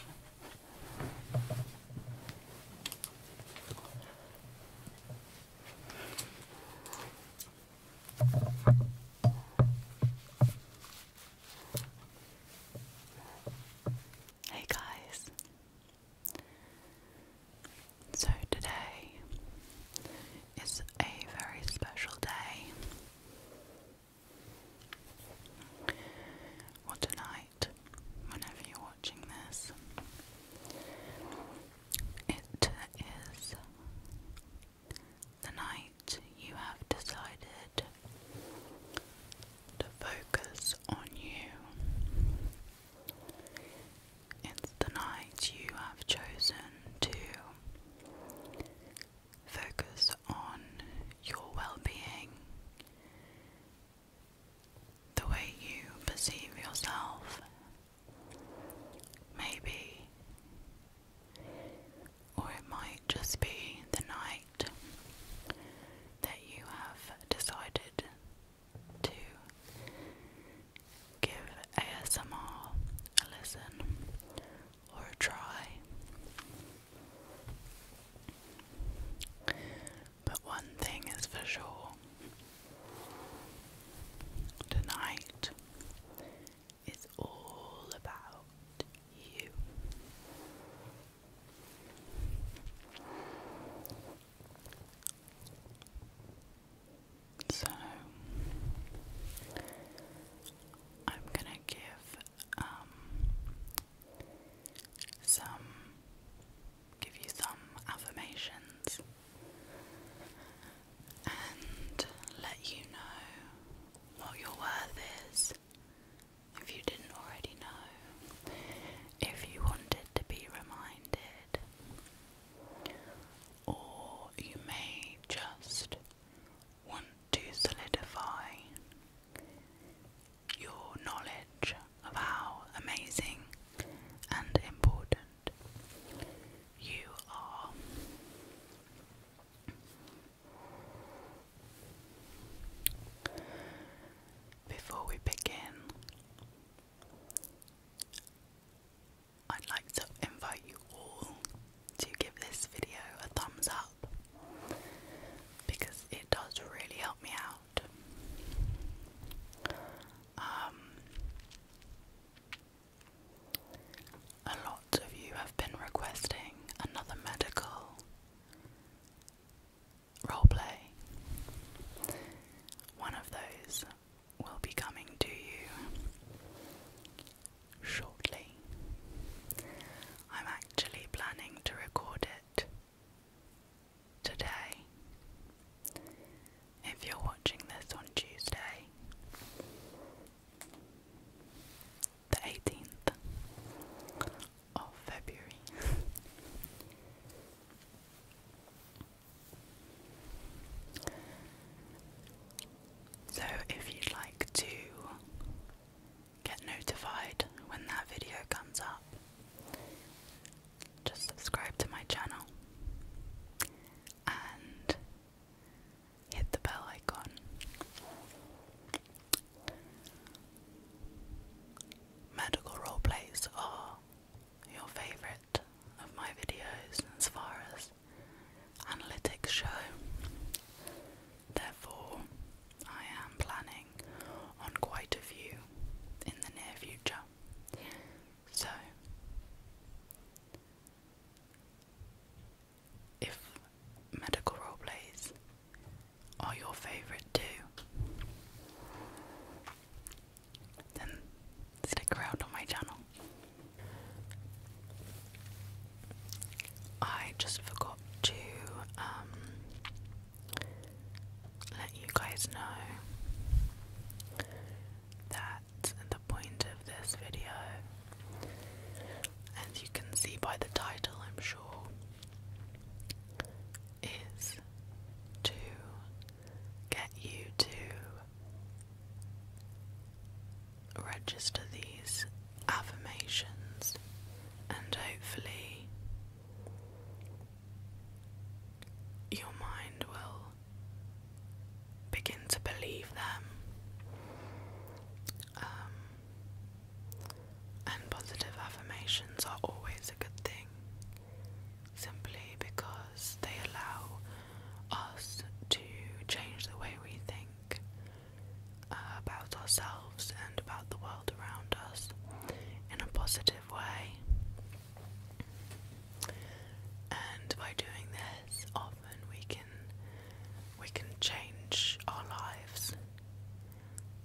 Hey guys. So today is a very special day. What a night, whenever you're watching this. It is the night you have decided to focus on you. It's the night you have chosen to focus on your well being, the way you perceive yourself. Maybe. Or it might just be the night that you have decided to give ASMR a listen or a try. But one thing is for sure tonight is all about you. So, I'm going to give um, some give you some affirmations and let you know what your worth is if you didn't already know, if you wanted to be reminded. Or you may just want to solidify your knowledge of how amazing and important you are. Before we begin, I'd like to invite you all to give this video a thumbs up because it does really help me out. Um, a lot of you have been requesting another medical roleplay. One of those will be coming to you shortly. I'm actually planning to record it today. If you're watching this on Tuesday, the 18th of February. so, if you'd like to get notified when that video comes up, just subscribe to my channel and hit the bell icon. Medical roleplays are your favourite of my videos as far as analytics show. Therefore, I am planning on quite a few in the near future. So, if medical role plays are your favourite too, then stick around on my channel. I just forgot to um, let you guys know that the point of this video, as you can see by the title, I'm sure, is to get you to register these affirmations and hopefully your mind will begin to believe them. Um, and positive affirmations are always a good thing, simply because they allow us to change the way we think uh, about ourselves and about the world around us in a positive way. And by doing this, often we can we can change our lives.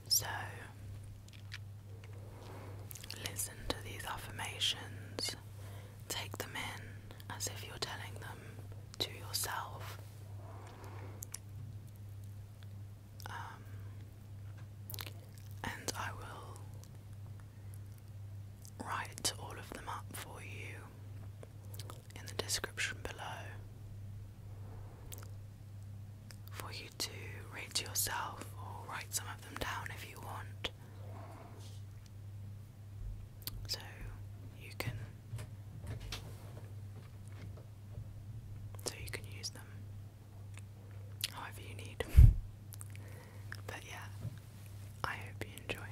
So listen to these affirmations. Take them in as if you're telling them to yourself. Um, and I will write all of them up for you in the description below for you to read to yourself or write some of them down if you want. So you can so you can use them however you need. but yeah, I hope you enjoy.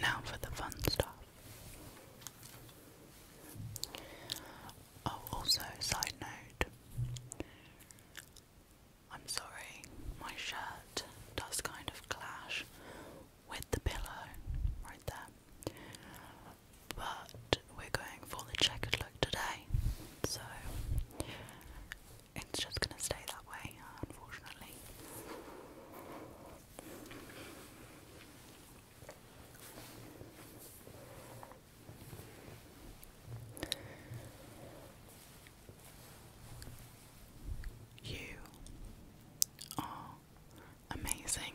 Now for the fun stuff. Oh, also, side note I'm sorry, my shirt does kind of clash with the pillow right there. But we're going for the checkered look today, so it's just gonna stay that way, unfortunately. You are amazing.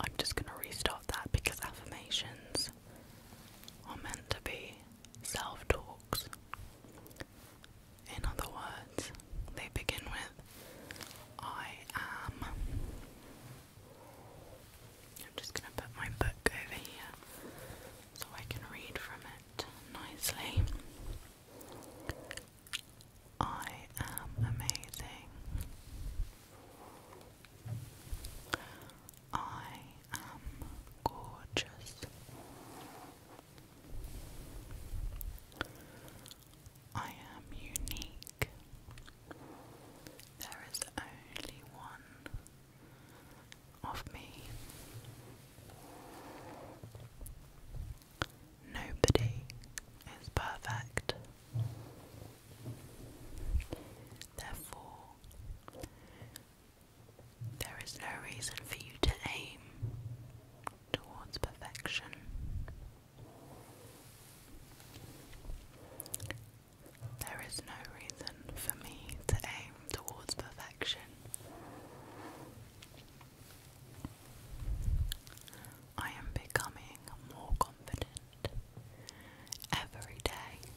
I'm just going to restart that because affirmations are meant to be self talks. In other words, they begin with I am. I'm just going to put my book over here so I can read from it nicely. I am amazing. I am gorgeous. I am unique. There is only one of me. Nobody is perfect. Therefore, there is no reason for you to aim towards perfection. There is no reason for me to aim towards perfection. I am becoming more confident every day.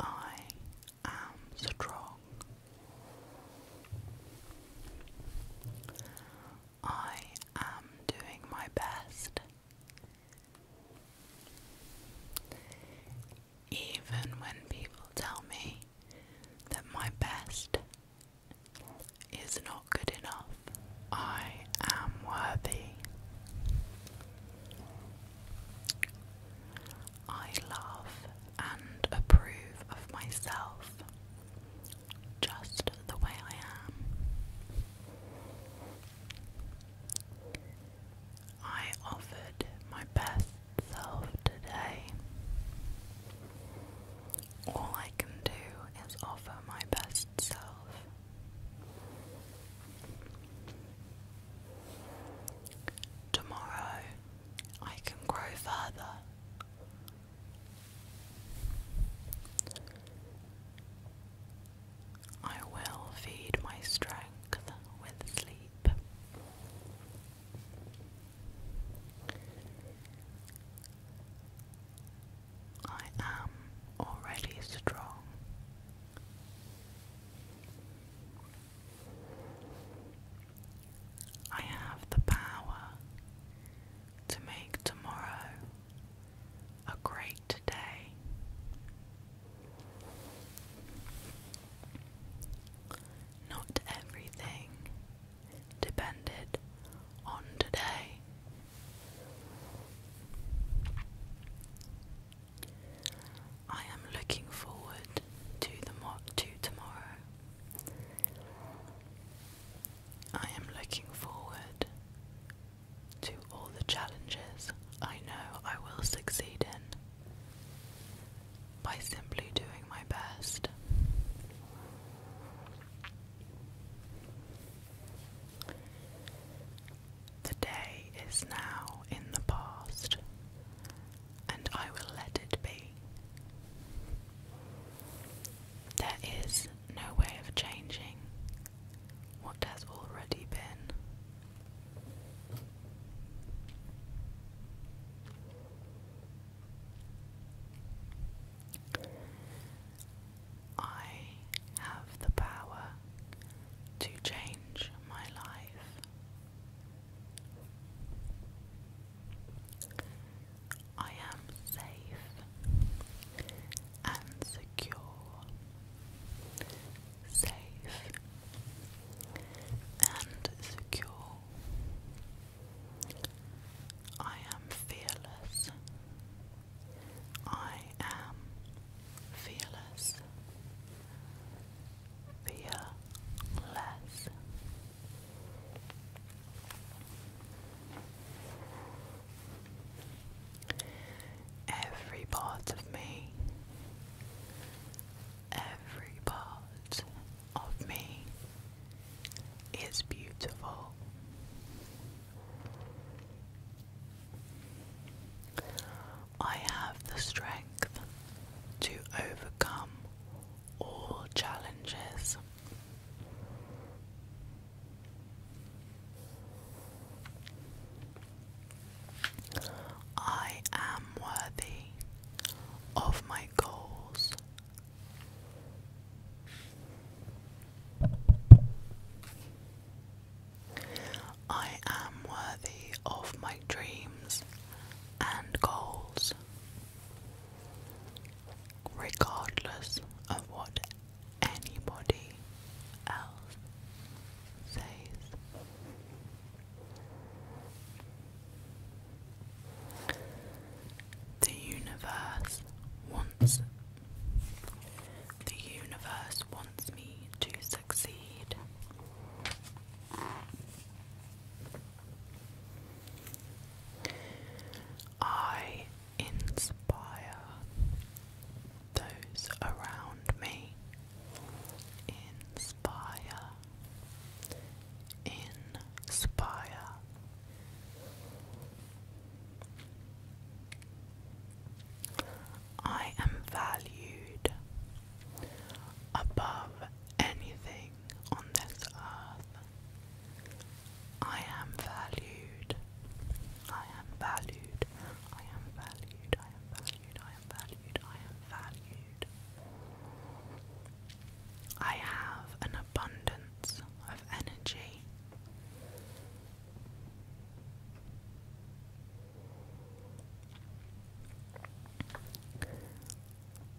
I am strong. I am doing my best even when people tell me that my best is not good enough, I am worthy. I love and approve of myself just the way I am. I offered my best self today. All I can do is offer my best self. Tomorrow I can grow further. I will feed my strength with sleep. I am already strong. I have the power to make tomorrow a great day. Not everything depended on today. I am looking forward to the mock to tomorrow. I am looking forward to all the challenges I know I will succeed in by simply doing my best. The day is now in the past, and I will let it be. There is no way of changing what has already been I have the power to change my life. I am safe and secure. Safe and secure. I am fearless. I am fearless. Fearless. Every part of me Every part of me is beautiful. I have the strength to overcome all challenges. I am worthy of my goals. I am worthy of my dreams and goals, regardless of what anybody else says. The universe wants the universe wants me to succeed. I inspire those around me. Inspire inspire. I am valued above anything on this earth. I am valued. I am valued. I am valued. I am valued. I am valued. I am valued. I have an abundance of energy.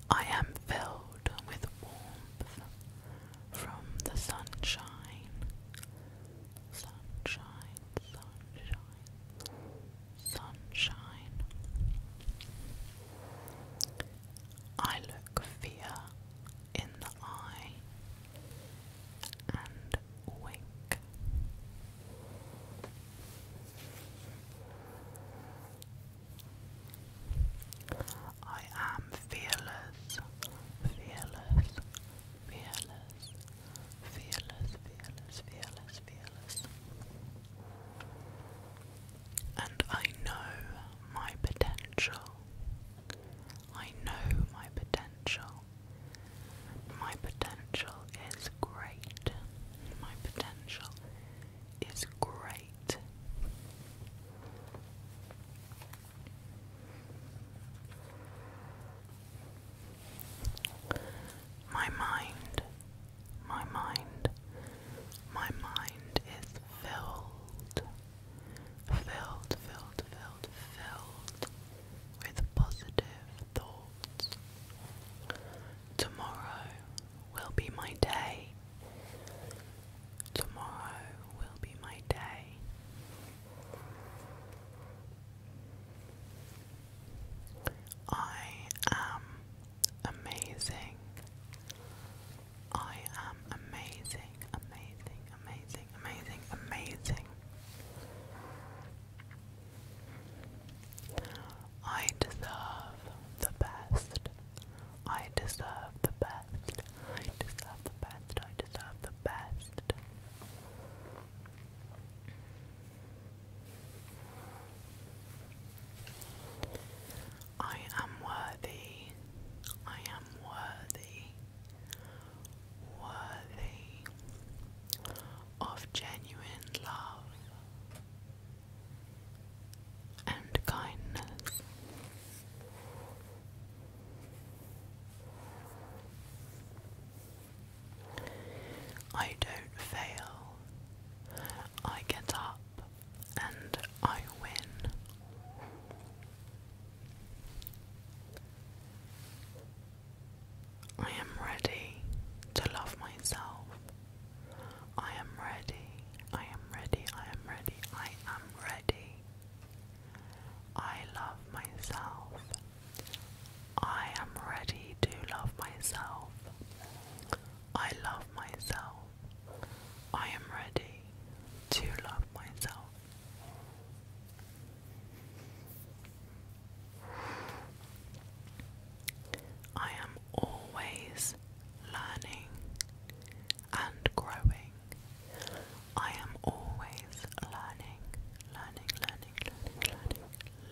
I am filled with warmth from the sunshine. Sunshine, sunshine sunshine. I look fear in the eye and wink. I am fearless, fearless, fearless, fearless, fearless, fearless, fearless. And I know my potential. I know my potential. My potential is great. My potential is great. My mind my mind. My mind is filled, filled, filled, filled, filled with positive thoughts. Tomorrow will be my day. Tomorrow will be my day. I am amazing. I am amazing, amazing, amazing, amazing, amazing. I deserve the best. I deserve the best. I deserve the best. I deserve the best. I am worthy, I am worthy, worthy of genuine love and kindness. I don't fail. I get up and I win. I am ready to love myself. I am ready. I am ready. I am ready. I am ready. I love myself. I am ready to love myself. I love myself. I am ready to love myself. I am always learning and growing. I am always learning, learning, learning, learning,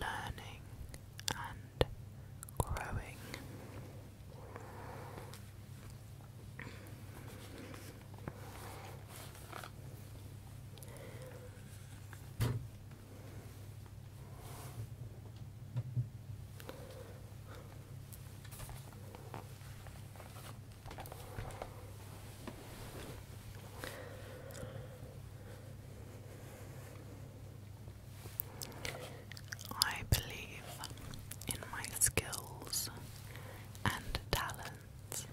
learning, learning and growing. I believe in my skills and talents.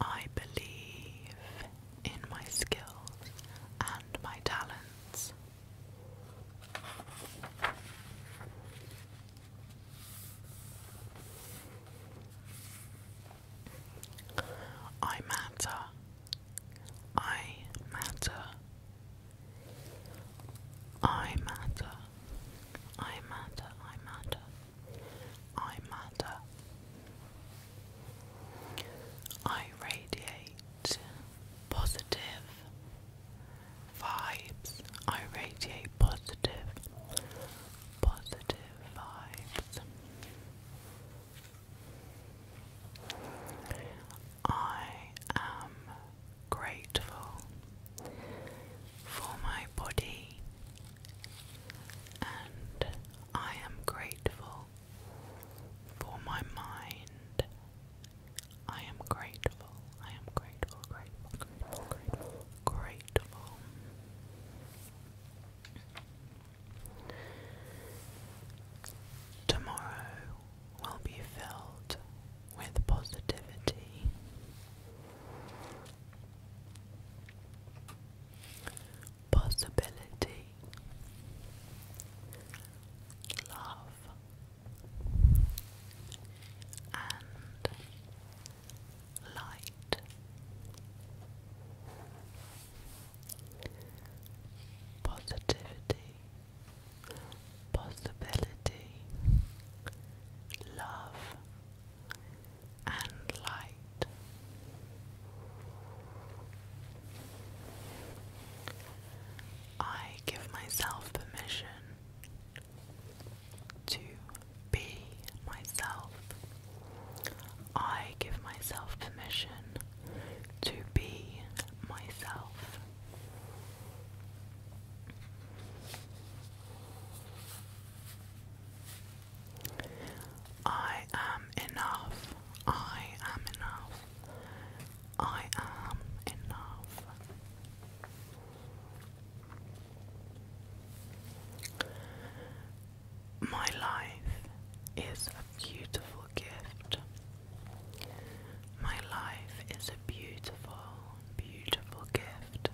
I believe in my skills and my talents. I matter I matter. I matter. I matter. I matter. I matter. I radiate positive vibes. I radiate positive, positive vibes. I am grateful for my body, and I am grateful for my mind. I am grateful, I am grateful, grateful, grateful, grateful, Tomorrow will be filled with positivity. Possibility, love, and light. Positivity, possibility, love, and light. I give myself permission to be myself. I give myself permission to be myself. I am enough. I am enough. I am enough. My life is beautiful gift. My life is a beautiful, beautiful gift.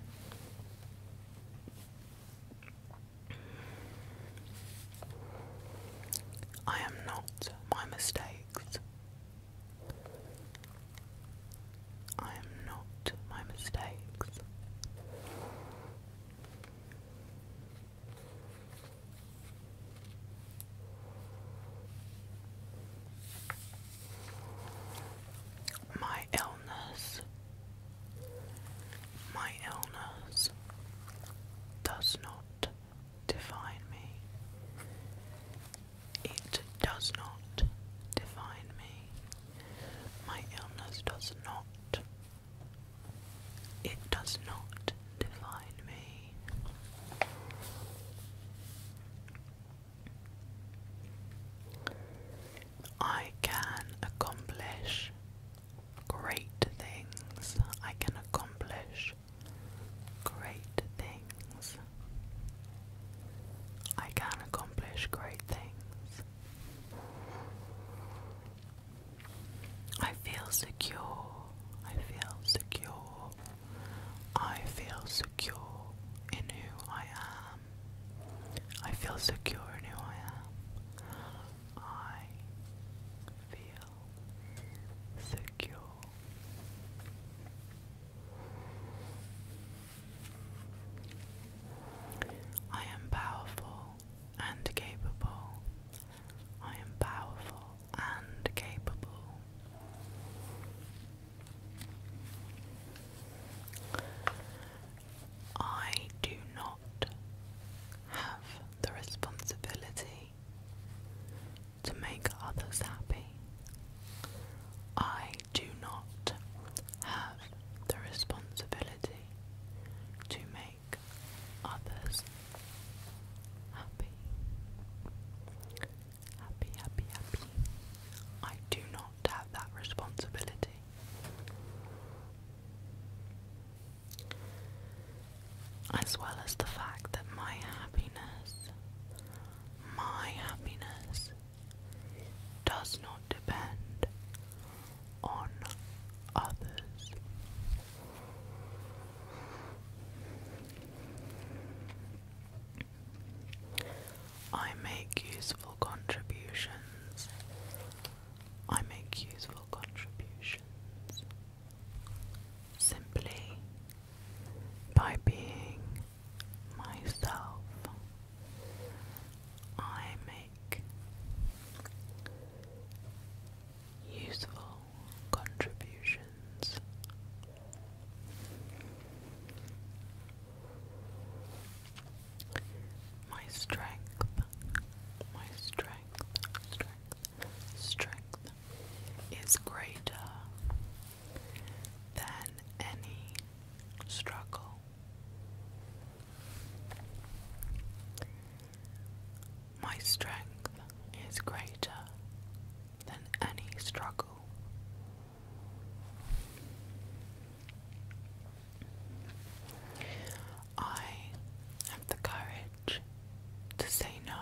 I am not my mistakes. I am not my mistakes. My illness, my illness does not define me. It does not define me. My illness does not. It does not define me. I can accomplish great things. I can accomplish great things. I can accomplish great things. I feel secure. I feel secure. I feel secure in who I am. I feel secure in who I am. I feel secure. I am powerful and capable. I am powerful and capable. I do not have the responsibility to make others happy. I do not have the responsibility to make others Happy. Happy, happy, happy. I do not have that responsibility. As well as the fact that my happiness, my happiness, does not depend on others. I make useful contributions. I make useful contributions simply by being myself. I make useful contributions. My strength, my strength, strength, strength is greater than any struggle. My strength is greater than any struggle. I have the courage to say no.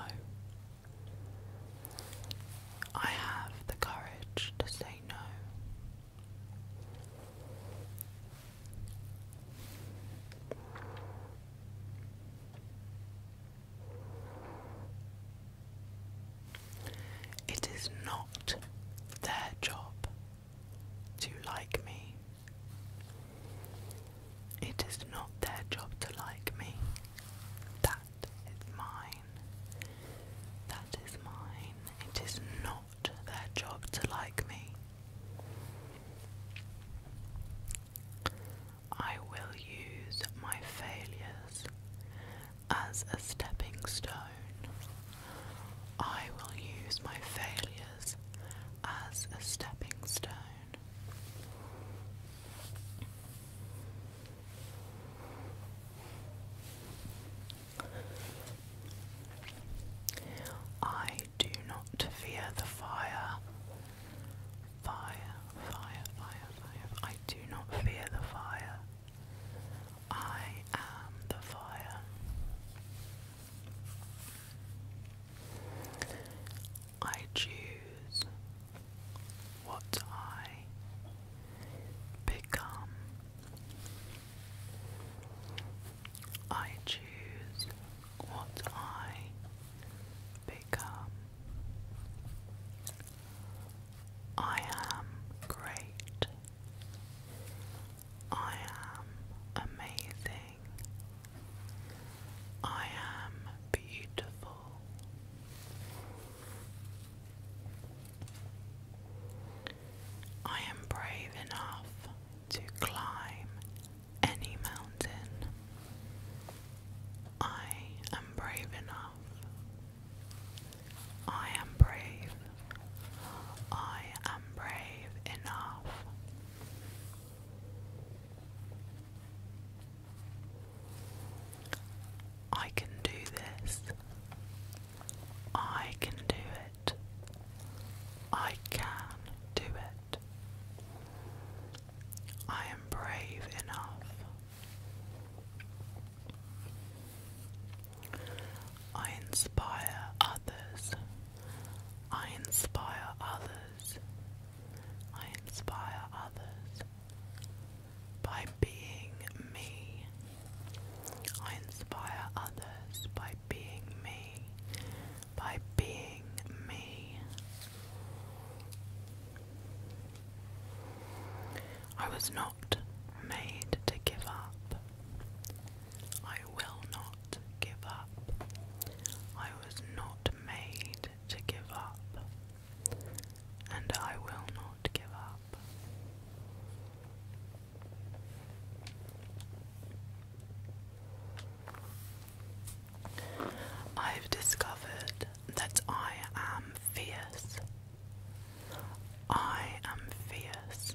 I have the courage to say no. It is not their job to like me. It is not their job to like me. That is mine. That is mine. It is not their job to like me. I will use my failures as a stepping stone. I will use my failures as a stepping stone. I do not fear the fire Fire, fire, fire, fire. I do not fear the fire. I am the fire. I choose what I become. I choose what I become. I am great. I am amazing. I am beautiful. I am brave enough to climb any mountain. I am brave enough I am brave. I am brave enough. I can do this. I can do it. I can do it. I am brave enough. I inspire others. I inspire others. I inspire others by being me. I inspire others by being me. By being me. I was not made to give up. I will not give up. I was not made to give up. And I will not give up. I've discovered that I am fierce. I am fierce.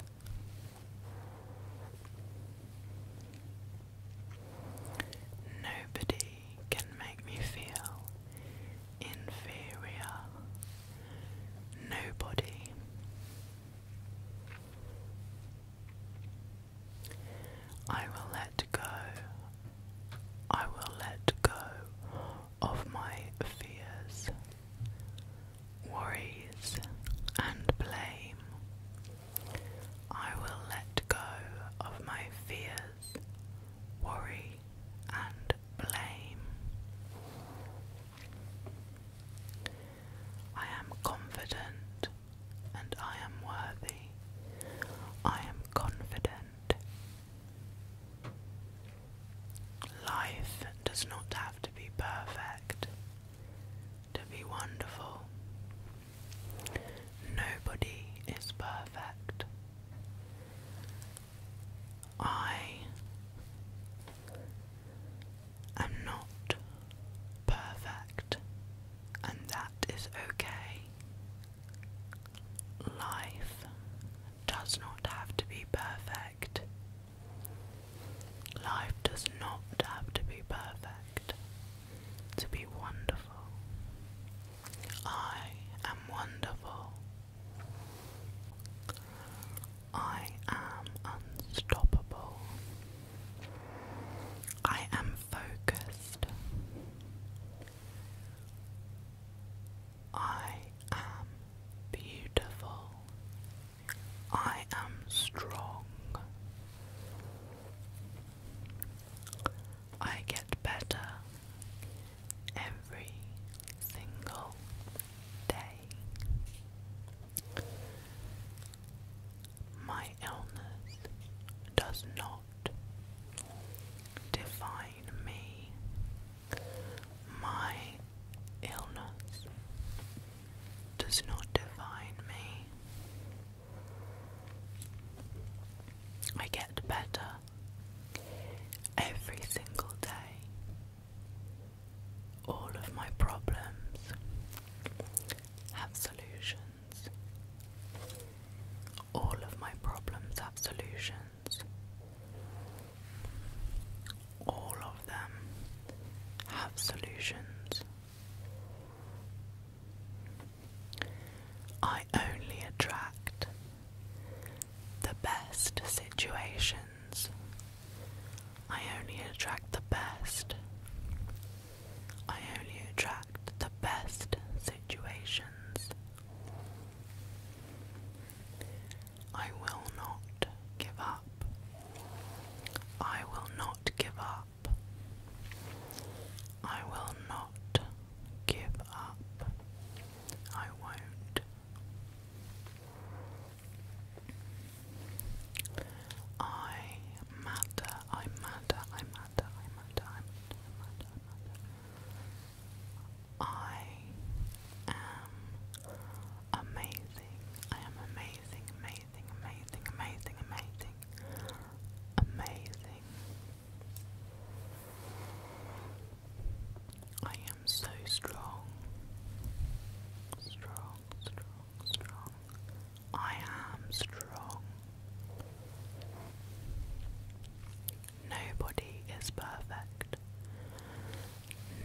Nobody can make me feel inferior. Nobody. I will let go. I will let go of my fears, worries, and blame. I will let go of my fears, worry, and blame. I am confident and I am worthy. I am confident Life does not have to be perfect to be wonderful. Nobody is perfect. I am not perfect, and that is okay. Life does not have to be perfect. Life does not have to be perfect to be wonderful. I am wonderful. I am unstoppable. I am focused. I am beautiful. I am strong. I get better every single day. My illness does not define me. My illness does not define me. I get better every single day. All of my problems have solutions. All of my problems have solutions. All of them have solutions. I only attract the best situations. I only attract the best. I only attract the best situations. I will not give up. I will not give up. I will not give up. I won't. I matter, I matter, I matter, I matter, I matter, I am amazing. I am amazing, amazing, amazing, amazing, amazing, amazing. I am so strong. Strong, strong, strong. I am strong. Nobody is perfect.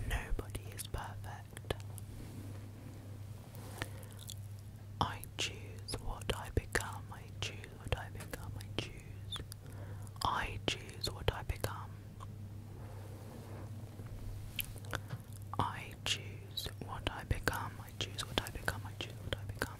Nobody is perfect. I choose what I become. I choose what I become. I choose. I choose what I become. I choose what I become. I choose what I become. I choose what I become.